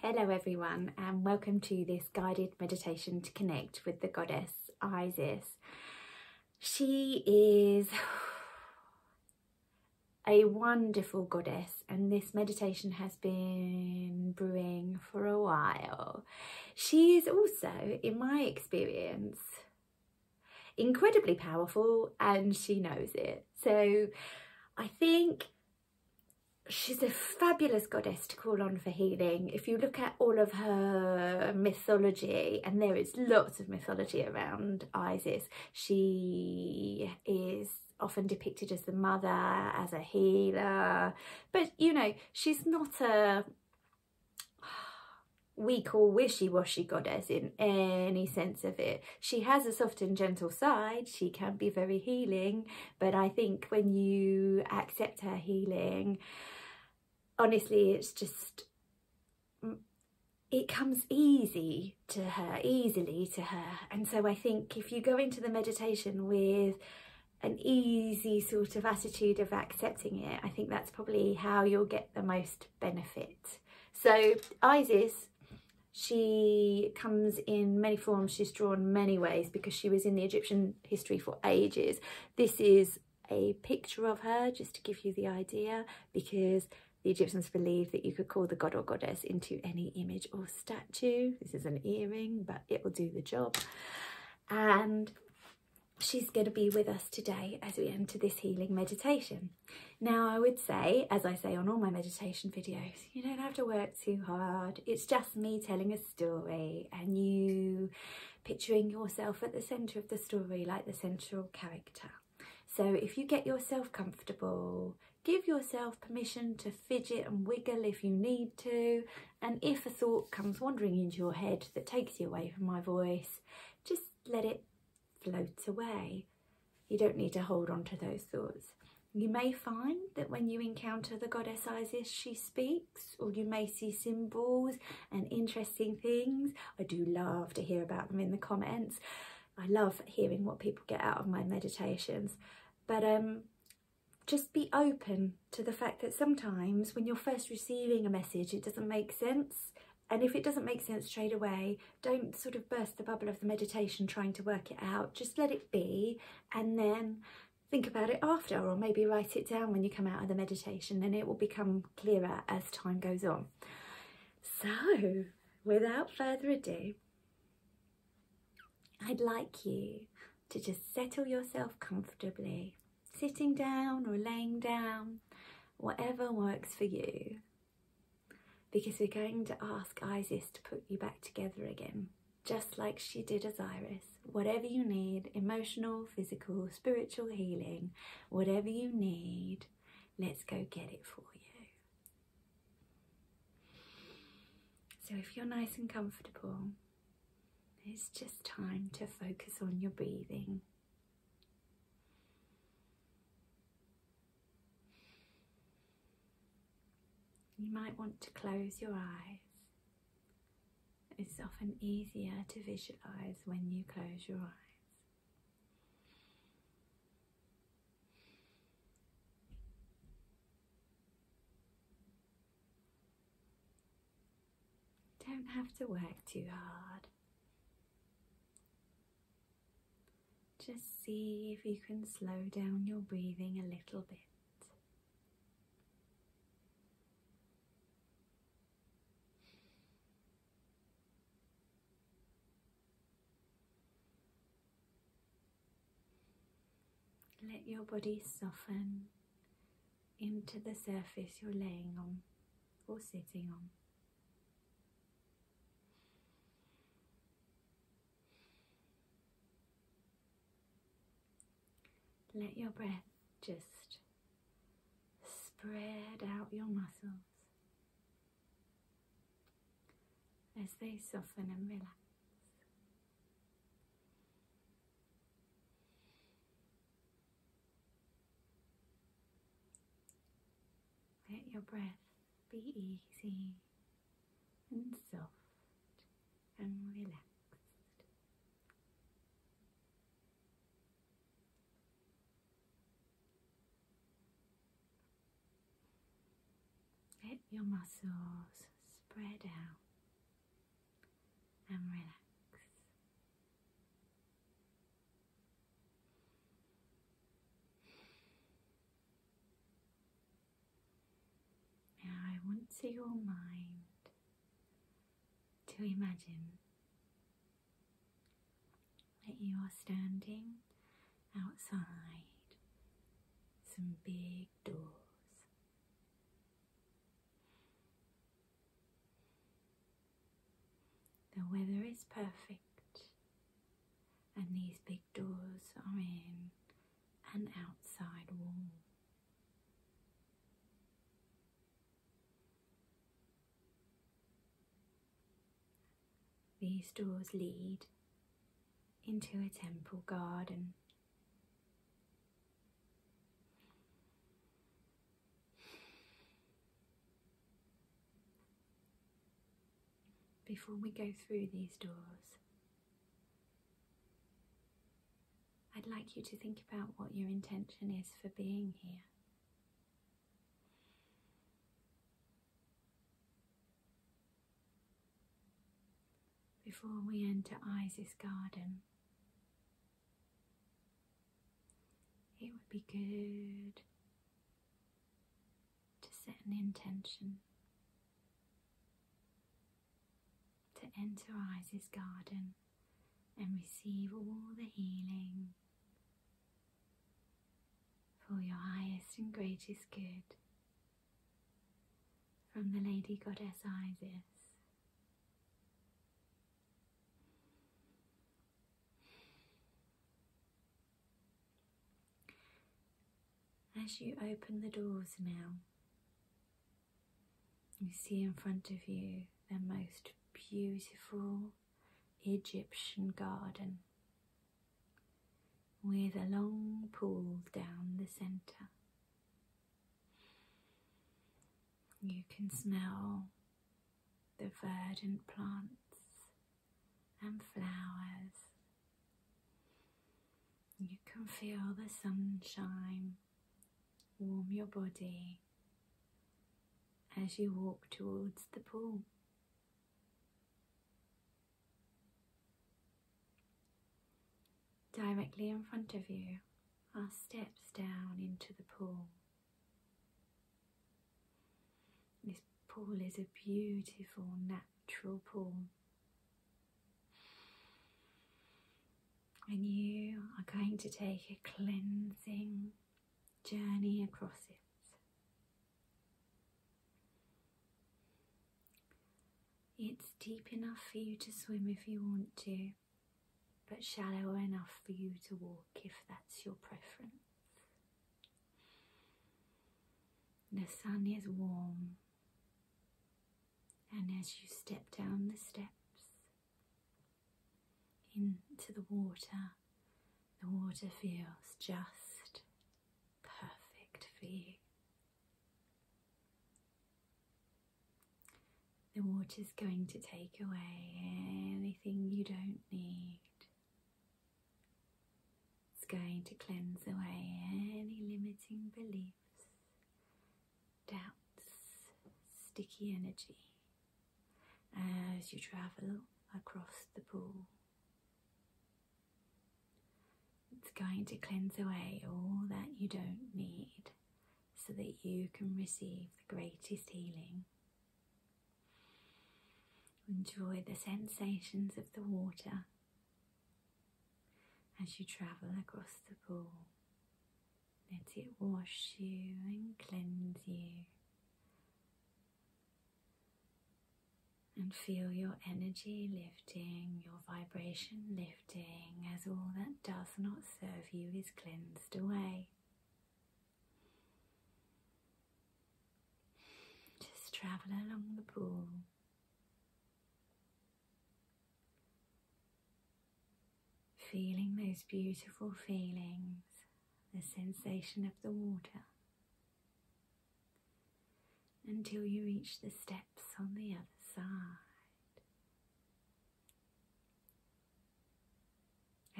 Hello everyone and welcome to this guided meditation to connect with the goddess Isis. She is a wonderful goddess and this meditation has been brewing for a while. She is also, in my experience, incredibly powerful and she knows it. So I think she's a fabulous goddess to call on for healing. If you look at all of her mythology, and there is lots of mythology around Isis, she is often depicted as the mother, as a healer, but you know, she's not a weak or wishy-washy goddess in any sense of it. She has a soft and gentle side. She can be very healing, but I think when you accept her healing, honestly, it's just mm, it comes easy to her, easily to her. And so I think if you go into the meditation with an easy sort of attitude of accepting it, I think that's probably how you'll get the most benefit. So Isis, she comes in many forms, she's drawn many ways because she was in the Egyptian history for ages. This is a picture of her just to give you the idea because the Egyptians believed that you could call the god or goddess into any image or statue. This is an earring, but it will do the job. And she's going to be with us today as we enter this healing meditation. Now, I would say, as I say on all my meditation videos, you don't have to work too hard. It's just me telling a story and you picturing yourself at the centre of the story like the central character. So if you get yourself comfortable, give yourself permission to fidget and wiggle if you need to. And if a thought comes wandering into your head that takes you away from my voice, just let it float away. You don't need to hold on to those thoughts. You may find that when you encounter the goddess Isis, she speaks, or you may see symbols and interesting things. I do love to hear about them in the comments. I love hearing what people get out of my meditations. But um, just be open to the fact that sometimes when you're first receiving a message, it doesn't make sense. And if it doesn't make sense straight away, don't sort of burst the bubble of the meditation trying to work it out. Just let it be and then think about it after or maybe write it down when you come out of the meditation and it will become clearer as time goes on. So without further ado, I'd like you to just settle yourself comfortably, sitting down or laying down, whatever works for you, because we're going to ask Isis to put you back together again just like she did as Iris. Whatever you need, emotional, physical, spiritual healing, whatever you need, let's go get it for you. So if you're nice and comfortable, it's just time to focus on your breathing. You might want to close your eyes. It's often easier to visualize when you close your eyes. Don't have to work too hard. Just see if you can slow down your breathing a little bit. Let your body soften into the surface you're laying on or sitting on. Let your breath just spread out your muscles as they soften and relax. Let your breath be easy and soft and relaxed. Let your muscles spread out and relax. Now I want to your mind to imagine that you are standing outside some big doors. The weather is perfect, and these big doors are in an outside wall. These doors lead into a temple garden. Before we go through these doors, I'd like you to think about what your intention is for being here. Before we enter Isis Garden, it would be good to set an intention to enter Isis' garden and receive all the healing for your highest and greatest good from the Lady Goddess Isis. As you open the doors now, you see in front of you the most beautiful Egyptian garden with a long pool down the centre. You can smell the verdant plants and flowers you can feel the sunshine warm your body as you walk towards the pool. Directly in front of you are steps down into the pool. This pool is a beautiful natural pool and you are going to take a cleansing journey across it. It's deep enough for you to swim if you want to, but shallow enough for you to walk if that's your preference. The sun is warm and as you step down the steps into the water, the water feels just perfect for you. The water's going to take away anything you don't need. It's going to cleanse away any limiting beliefs doubts, sticky energy as you travel across the pool. It's going to cleanse away all that you don't need so that you can receive the greatest healing. Enjoy the sensations of the water as you travel across the pool, let it wash you and cleanse you. And feel your energy lifting, your vibration lifting as all that does not serve you is cleansed away. Just travel along the pool, Feeling those beautiful feelings, the sensation of the water, until you reach the steps on the other side.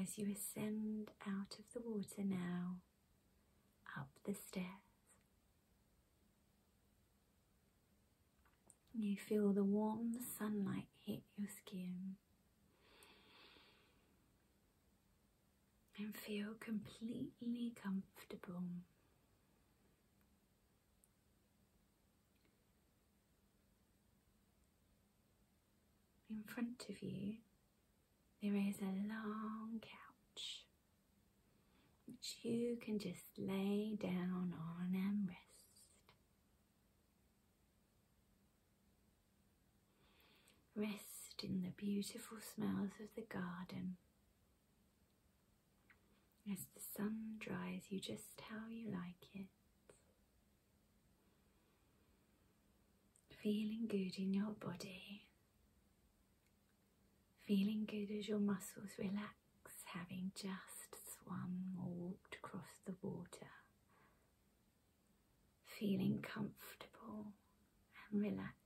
As you ascend out of the water now, up the stairs you feel the warm sunlight hit your skin and feel completely comfortable. In front of you, there is a long couch which you can just lay down on and rest. Rest in the beautiful smells of the garden. As the sun dries you just how you like it. Feeling good in your body Feeling good as your muscles relax, having just swum or walked across the water. Feeling comfortable and relaxed.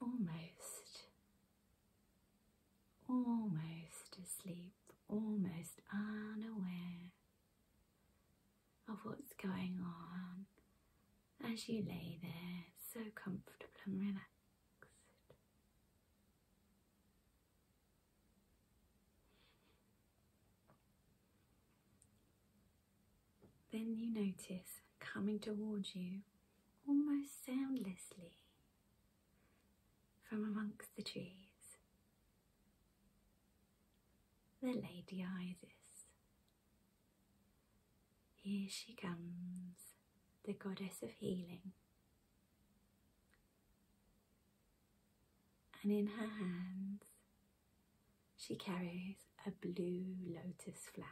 Almost, almost asleep, almost unaware of what's going on as you lay there so comfortable and relaxed. Then you notice coming towards you almost soundlessly from amongst the trees the Lady Isis. Here she comes, the goddess of healing. And in her hands, she carries a blue lotus flower.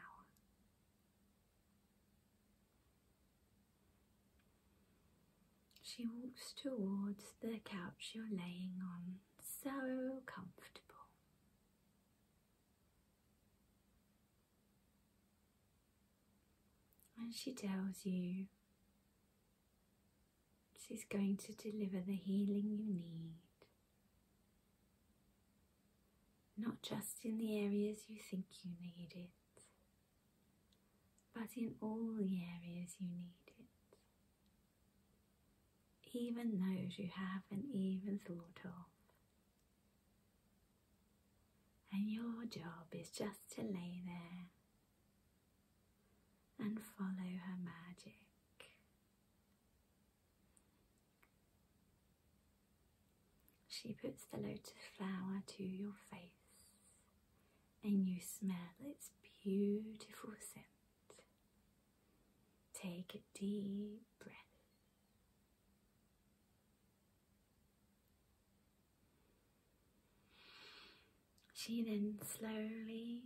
She walks towards the couch you're laying on, so comfortable. And she tells you she's going to deliver the healing you need, not just in the areas you think you need it, but in all the areas you need it, even those you haven't even thought of. And your job is just to lay there and follow her magic. She puts the lotus flower to your face and you smell its beautiful scent. Take a deep breath. She then slowly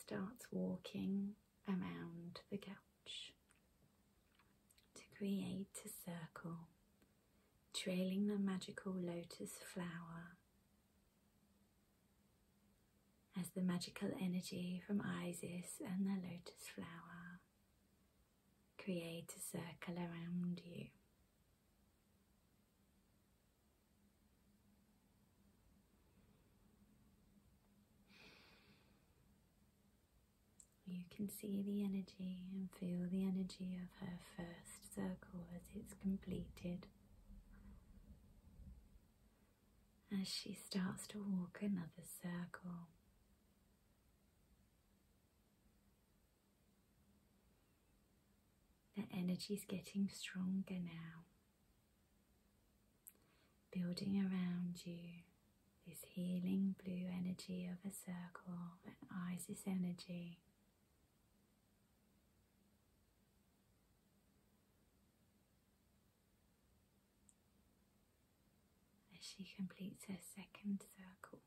starts walking around the couch to create a circle, trailing the magical lotus flower as the magical energy from Isis and the lotus flower create a circle around you. You can see the energy and feel the energy of her first circle as it's completed. As she starts to walk another circle. The energy is getting stronger now, building around you this healing blue energy of a circle and Isis energy as she completes her second circle.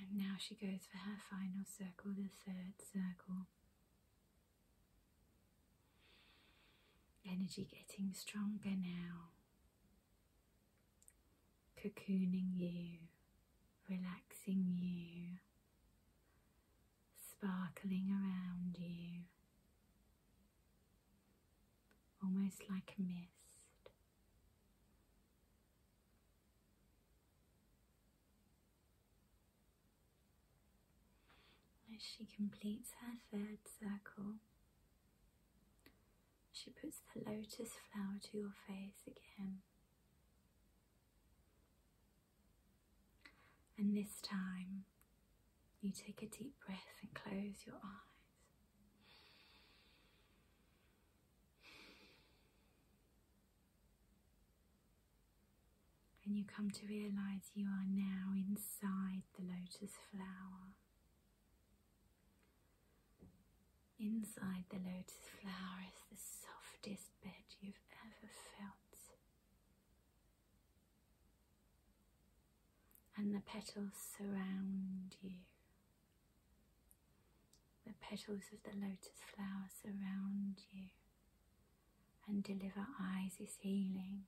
And now she goes for her final circle, the third circle. Energy getting stronger now cocooning you, relaxing you, sparkling around you, almost like a mist. As she completes her third circle, she puts the lotus flower to your face again. And this time, you take a deep breath and close your eyes. And you come to realize you are now inside the lotus flower. Inside the lotus flower is the softest bed you've ever felt. And the petals surround you. The petals of the lotus flower surround you and deliver Isis healing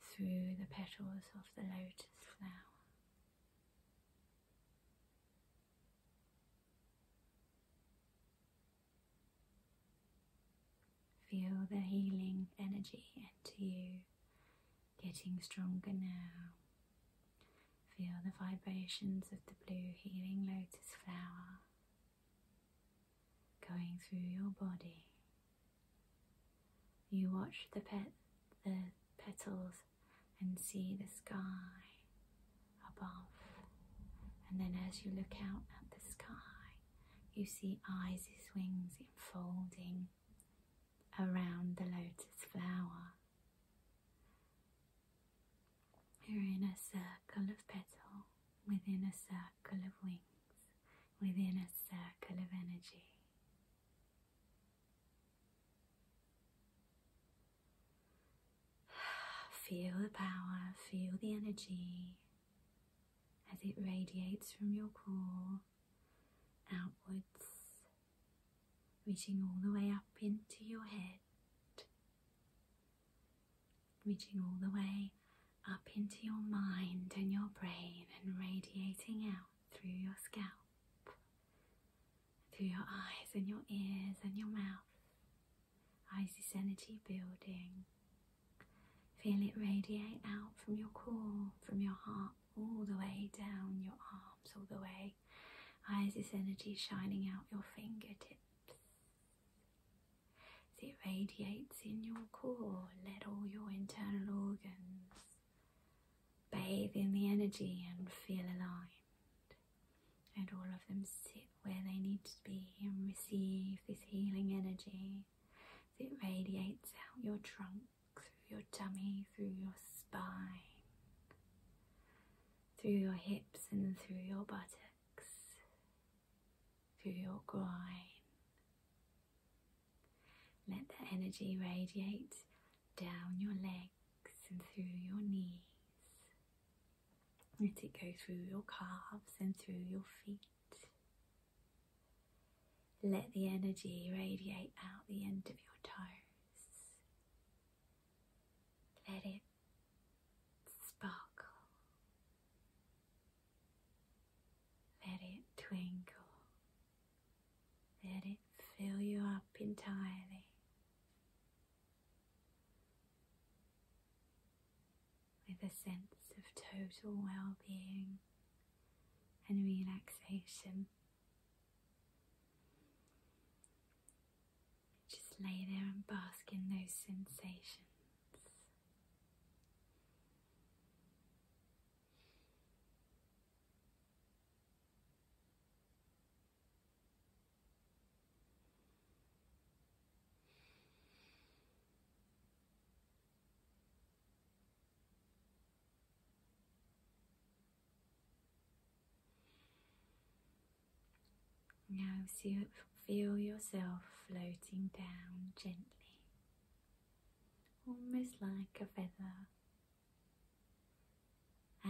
through the petals of the lotus flower. Feel the healing energy into you getting stronger now. Feel the vibrations of the blue healing lotus flower going through your body. You watch the, pet, the petals and see the sky above. And then as you look out at the sky, you see Isis' wings enfolding around the lotus flower. You're in a circle of petals, within a circle of wings, within a circle of energy. Feel the power, feel the energy as it radiates from your core outwards, reaching all the way up into your head, reaching all the way up into your mind and your brain and radiating out through your scalp through your eyes and your ears and your mouth. I this energy building. Feel it radiate out from your core, from your heart, all the way down your arms, all the way. I this energy shining out your fingertips. it radiates in your core, let all your internal organs Bathe in the energy and feel aligned. And all of them sit where they need to be and receive this healing energy. It radiates out your trunk, through your tummy, through your spine, through your hips and through your buttocks, through your groin. Let that energy radiate down your leg and through your knees. Let it go through your calves and through your feet. Let the energy radiate out the end of your toes. Let it sparkle. Let it twinkle. Let it fill you up entirely with a sense of total well being and relaxation. Just lay there and bask in those sensations. Now see, feel yourself floating down gently, almost like a feather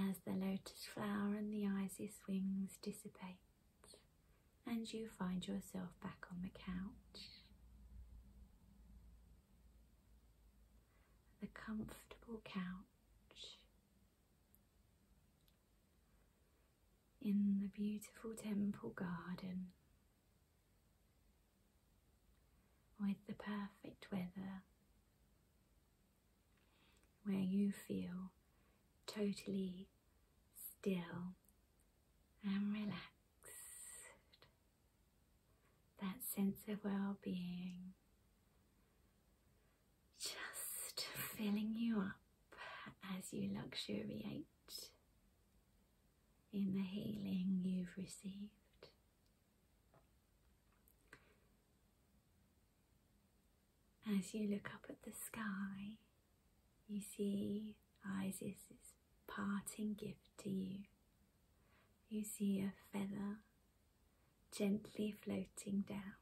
as the lotus flower and the Isis wings dissipate, and you find yourself back on the couch. The comfortable couch in the beautiful temple garden with the perfect weather where you feel totally still and relaxed. That sense of well being just filling you up as you luxuriate in the healing you've received. As you look up at the sky, you see Isis's parting gift to you. You see a feather gently floating down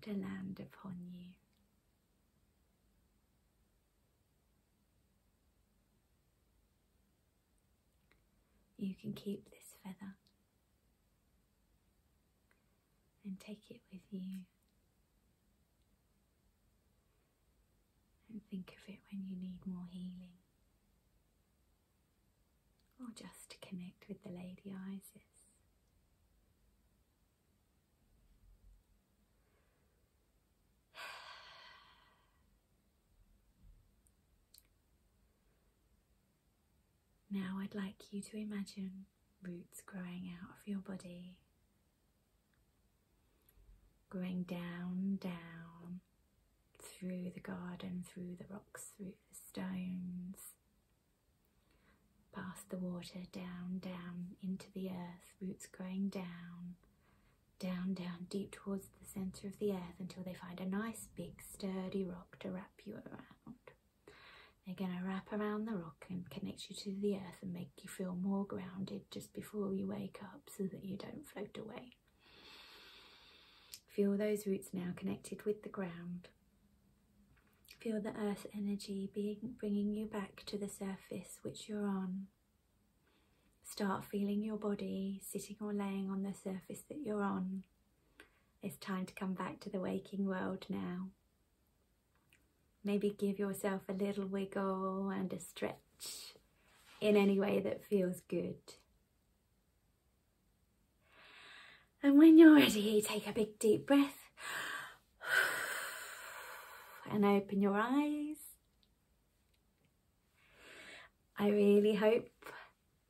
to land upon you. You can keep this feather and take it with you and think of it when you need more healing or just to connect with the Lady Isis. Now I'd like you to imagine roots growing out of your body, growing down, down through the garden, through the rocks, through the stones, past the water, down, down into the earth, roots growing down, down, down, deep towards the centre of the earth until they find a nice big sturdy rock to wrap you around. They're going to wrap around the rock and connect you to the earth and make you feel more grounded just before you wake up so that you don't float away. Feel those roots now connected with the ground. Feel the earth energy being, bringing you back to the surface which you're on. Start feeling your body sitting or laying on the surface that you're on. It's time to come back to the waking world now. Maybe give yourself a little wiggle and a stretch in any way that feels good. And when you're ready, take a big deep breath and open your eyes. I really hope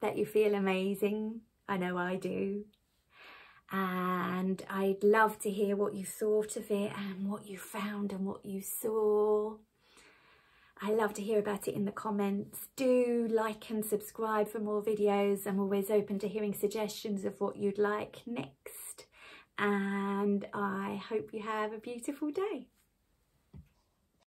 that you feel amazing. I know I do. And I'd love to hear what you thought of it and what you found and what you saw. I love to hear about it in the comments. Do like and subscribe for more videos. and always open to hearing suggestions of what you'd like next. And I hope you have a beautiful day.